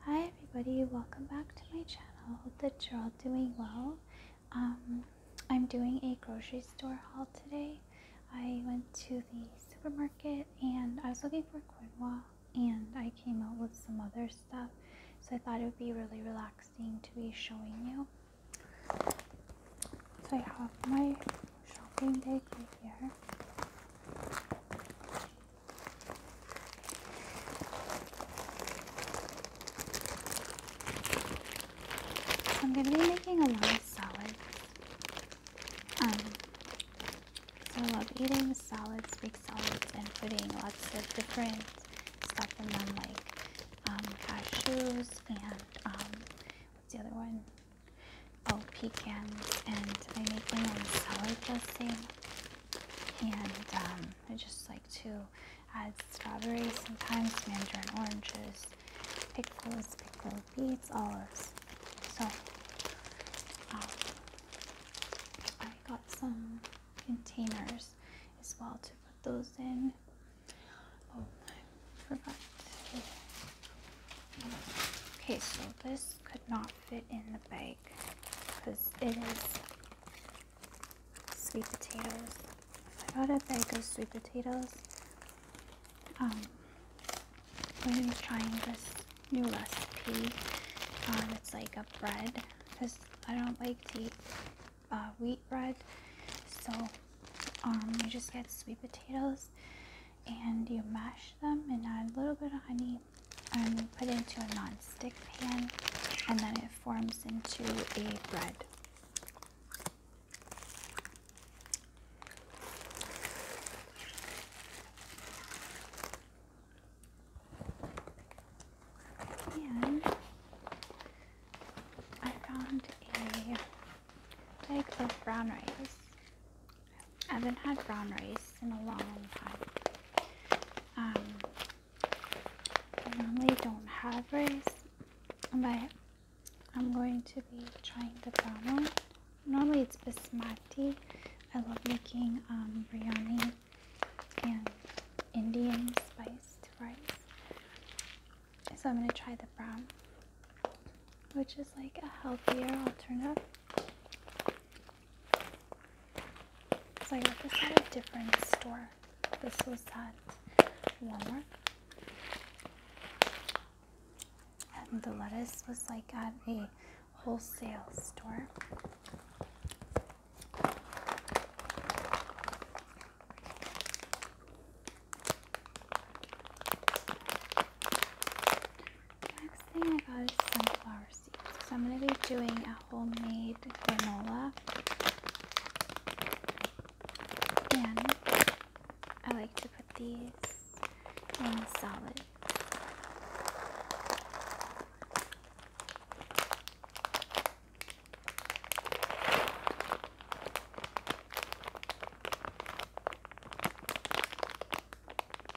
Hi everybody, welcome back to my channel. Hope that you're all doing well. Um, I'm doing a grocery store haul today. I went to the supermarket and I was looking for quinoa and I came out with some other stuff. So I thought it would be really relaxing to be showing you. So I have my shopping bag right here. I'm going to be making a lot of salads. Um, I love eating salads, big salads, and putting lots of different stuff in them, like um, cashews and um, what's the other one? Oh, pecans. And I make my own salad dressing. And um, I just like to add strawberries sometimes, mandarin oranges, pickles, pickled beets, olives. So um, I got some containers as well to put those in. Oh, I forgot. Okay, so this could not fit in the bag because it is sweet potatoes. I bought a bag of sweet potatoes um, when I was trying this new recipe. Um, it's like a bread because I don't like to eat uh, wheat bread. So um, you just get sweet potatoes and you mash them and add a little bit of honey and um, put it into a non-stick pan and then it forms into a bread. And I found a bag of brown rice. I haven't had brown rice in a long time. Um, I normally don't have rice, but I'm going to be trying the brown one. Normally it's basmati. I love making um, biryani and Indian spiced rice. So I'm going to try the brown, which is like a healthier alternative. So I got this at a different store. This was at Walmart. And the lettuce was like at a wholesale store. Next thing I got is sunflower so I'm going to be doing a homemade granola. And I like to put these in solid.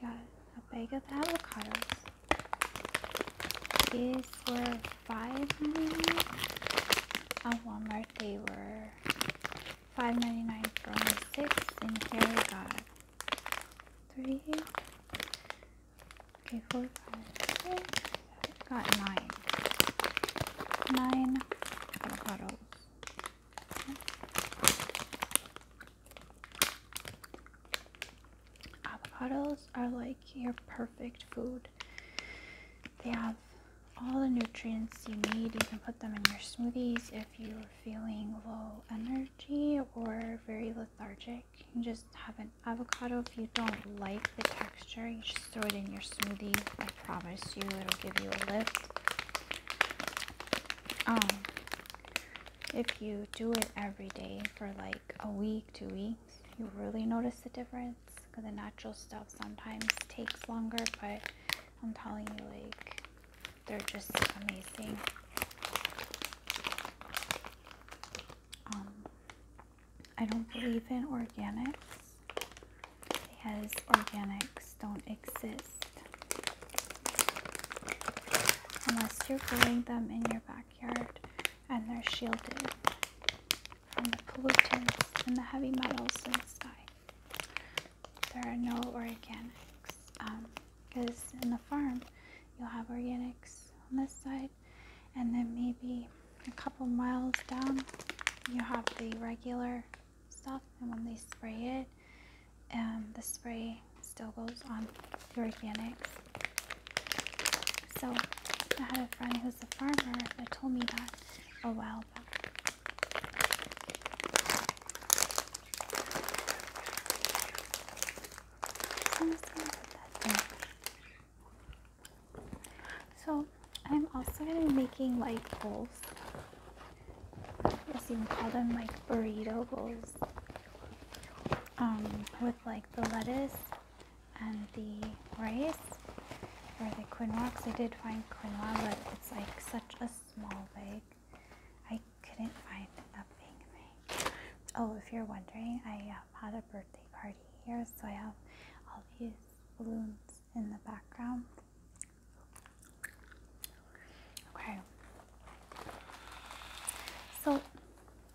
I got a bag of avocados. These were five ninety nine on Walmart. They were five ninety nine for six, and here we got three. Okay, four, five, six. Got nine. Nine avocados. Avocados are like your perfect food. They have all the nutrients you need. You can put them in your smoothies if you're feeling low energy or very lethargic. You just have an avocado. If you don't like the texture, you just throw it in your smoothie promise you it'll give you a lift. Um, if you do it every day for like a week, two weeks, you really notice the difference. Because the natural stuff sometimes takes longer, but I'm telling you, like, they're just amazing. Um, I don't believe in organics because organics don't exist unless you're growing them in your backyard and they're shielded from the pollutants and the heavy metals in the sky. There are no organics because um, in the farm you'll have organics on this side and then maybe a couple miles down you have the regular stuff and when they spray it um, the spray still goes on the organic. so I had a friend who's a farmer that told me that a while back so I'm also gonna be making light poles I guess you can call them like burrito bowls um, with like the lettuce and the rice or the quinoa because I did find quinoa but it's like such a small bag I couldn't find a big bag oh if you're wondering I um, had a birthday party here so I have all these balloons in the background. Okay. So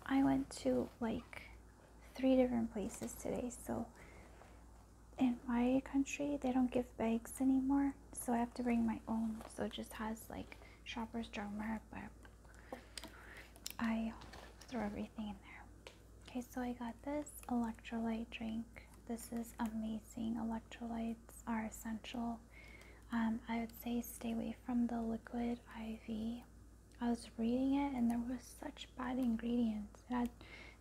I went to like three different places today. So in my country, they don't give bags anymore. So I have to bring my own. So it just has like shopper's drama, but I throw everything in there. Okay, so I got this electrolyte drink this is amazing. Electrolytes are essential. Um, I would say stay away from the liquid IV. I was reading it and there was such bad ingredients. It had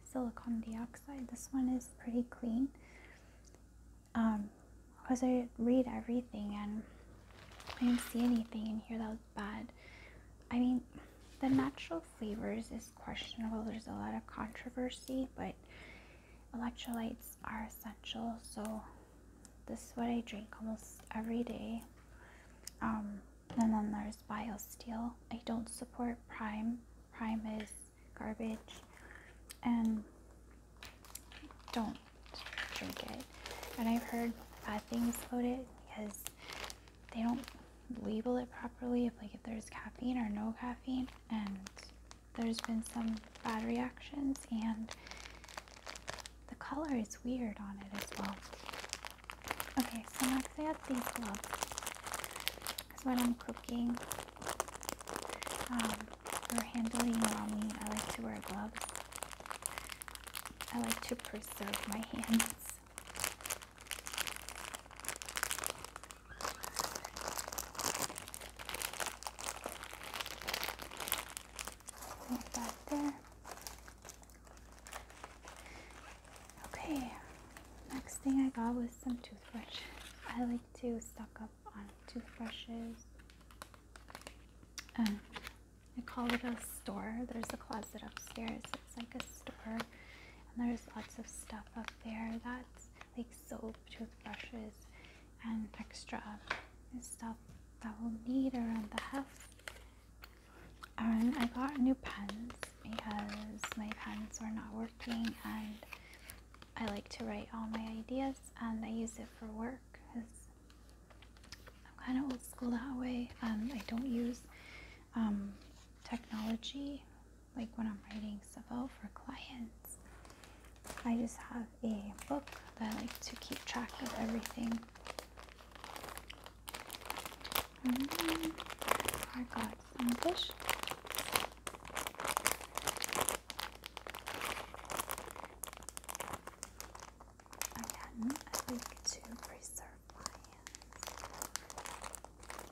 silicon dioxide. This one is pretty clean. Um, because I read everything and I didn't see anything in here that was bad. I mean, the natural flavors is questionable. There's a lot of controversy, but electrolytes are essential, so this is what I drink almost every day. Um, and then there's Steel. I don't support Prime. Prime is garbage, and don't drink it. And I've heard bad things about it because they don't label it properly. If like if there's caffeine or no caffeine, and there's been some bad reactions and the color is weird on it as well. Okay, so next I have these gloves. Because when I'm cooking um, or handling mommy, I like to wear gloves. I like to preserve my hands back there. Okay, next thing I got was some toothbrush. I like to stock up on toothbrushes. Um, I call it a store. There's a closet upstairs. It's like a store, and there's lots of stuff up there that's like soap, toothbrushes, and extra stuff that we'll need around the house. And I got new pens because my pens were not working and I like to write all my ideas and I use it for work because I'm kind of old school that way. Um, I don't use um, technology like when I'm writing stuff out for clients. I just have a book that I like to keep track of everything. Mm-hmm. I got some fish. Again, I like to preserve my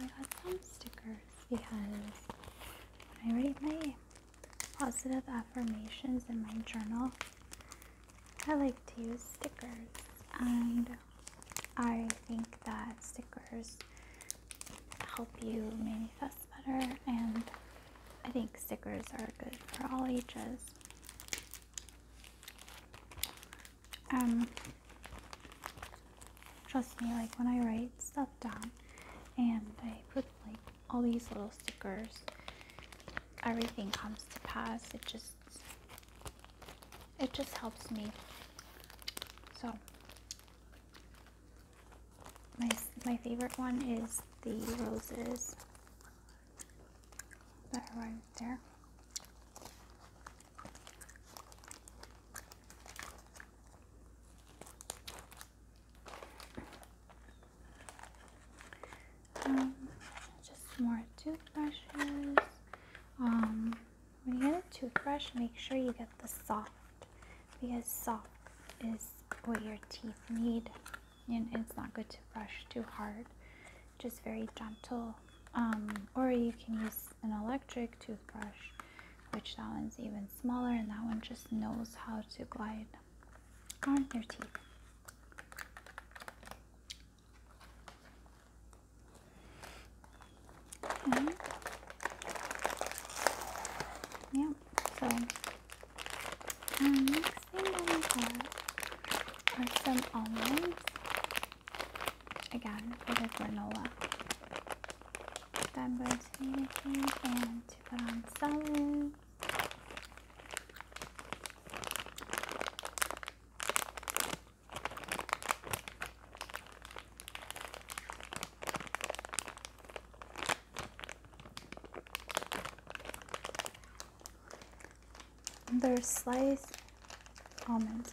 I oh got some stickers because when I write my positive affirmations in my journal, I like to use stickers. And I think that stickers help you manifest better. And I think stickers are good for all ages. Um, Trust me, like when I write stuff down and I put like all these little stickers, everything comes to pass. It just it just helps me. So my my favorite one is the roses that are right there. Um, just more toothbrushes. Um, when you get a toothbrush, make sure you get the soft because soft is what your teeth need, and it's not good to brush too hard. Just very gentle. Um, or you can use an electric toothbrush, which that one's even smaller, and that one just knows how to glide on your teeth. Okay. so next thing that we got are some almonds again for the granola. Then we're to and to put on salad. There's sliced almonds.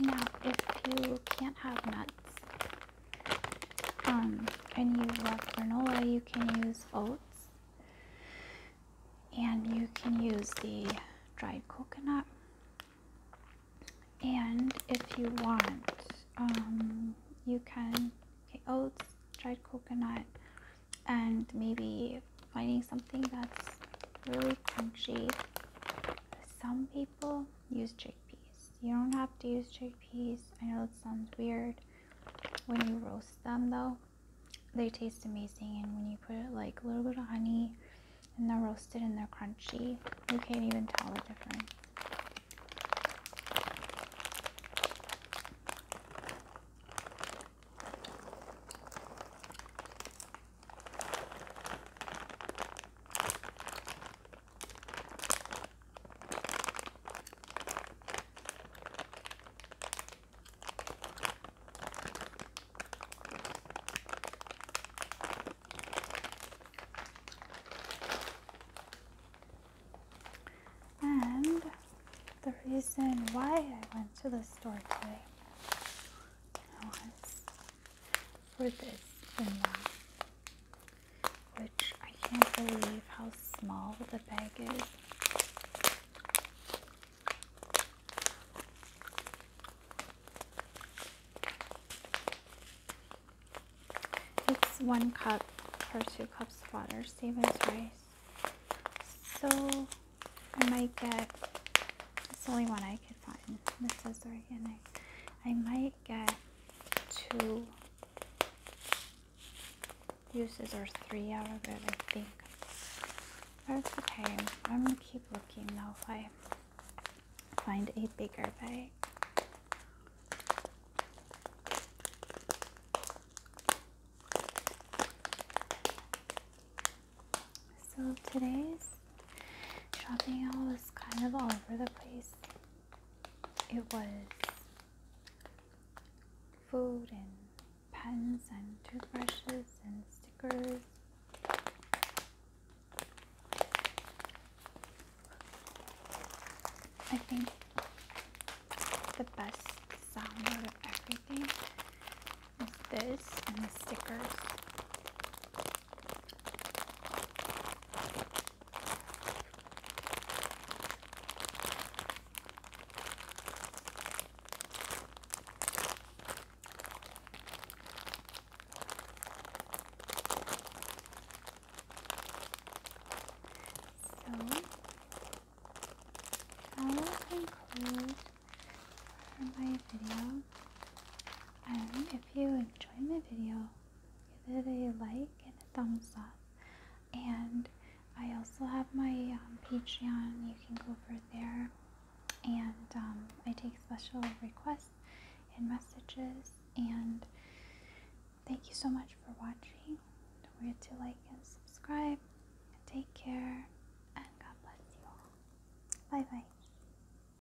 Now, if you can't have nuts, um, and you love granola, you can use oats, and you can use the dried coconut. And if you want, um, you can okay oats, dried coconut, and maybe finding something that's really crunchy. Some people use chickpeas. You don't have to use chickpeas. I know it sounds weird. When you roast them, though, they taste amazing. And when you put like a little bit of honey and they're roasted and they're crunchy, you can't even tell the difference. And the reason why I went to this store today was for this vanilla, which I can't believe how small the bag is. It's one cup or two cups of water, Steaming rice. So I might get, it's the only one I could find. This is organic. I might only get two uses or three out of it, I think. That's okay. I'm gonna keep looking now if I find a bigger bag. So today's Shopping haul was kind of all over the place. It was food and pens and toothbrushes and stickers. I think the best sound out of everything is this and the stickers. I will conclude my video if you enjoyed my video, give it a like and a thumbs up. And I also have my um, Patreon, you can go over there. And um, I take special requests and messages. And thank you so much for watching. Don't forget to like and subscribe. Take care, and God bless you all. Bye bye.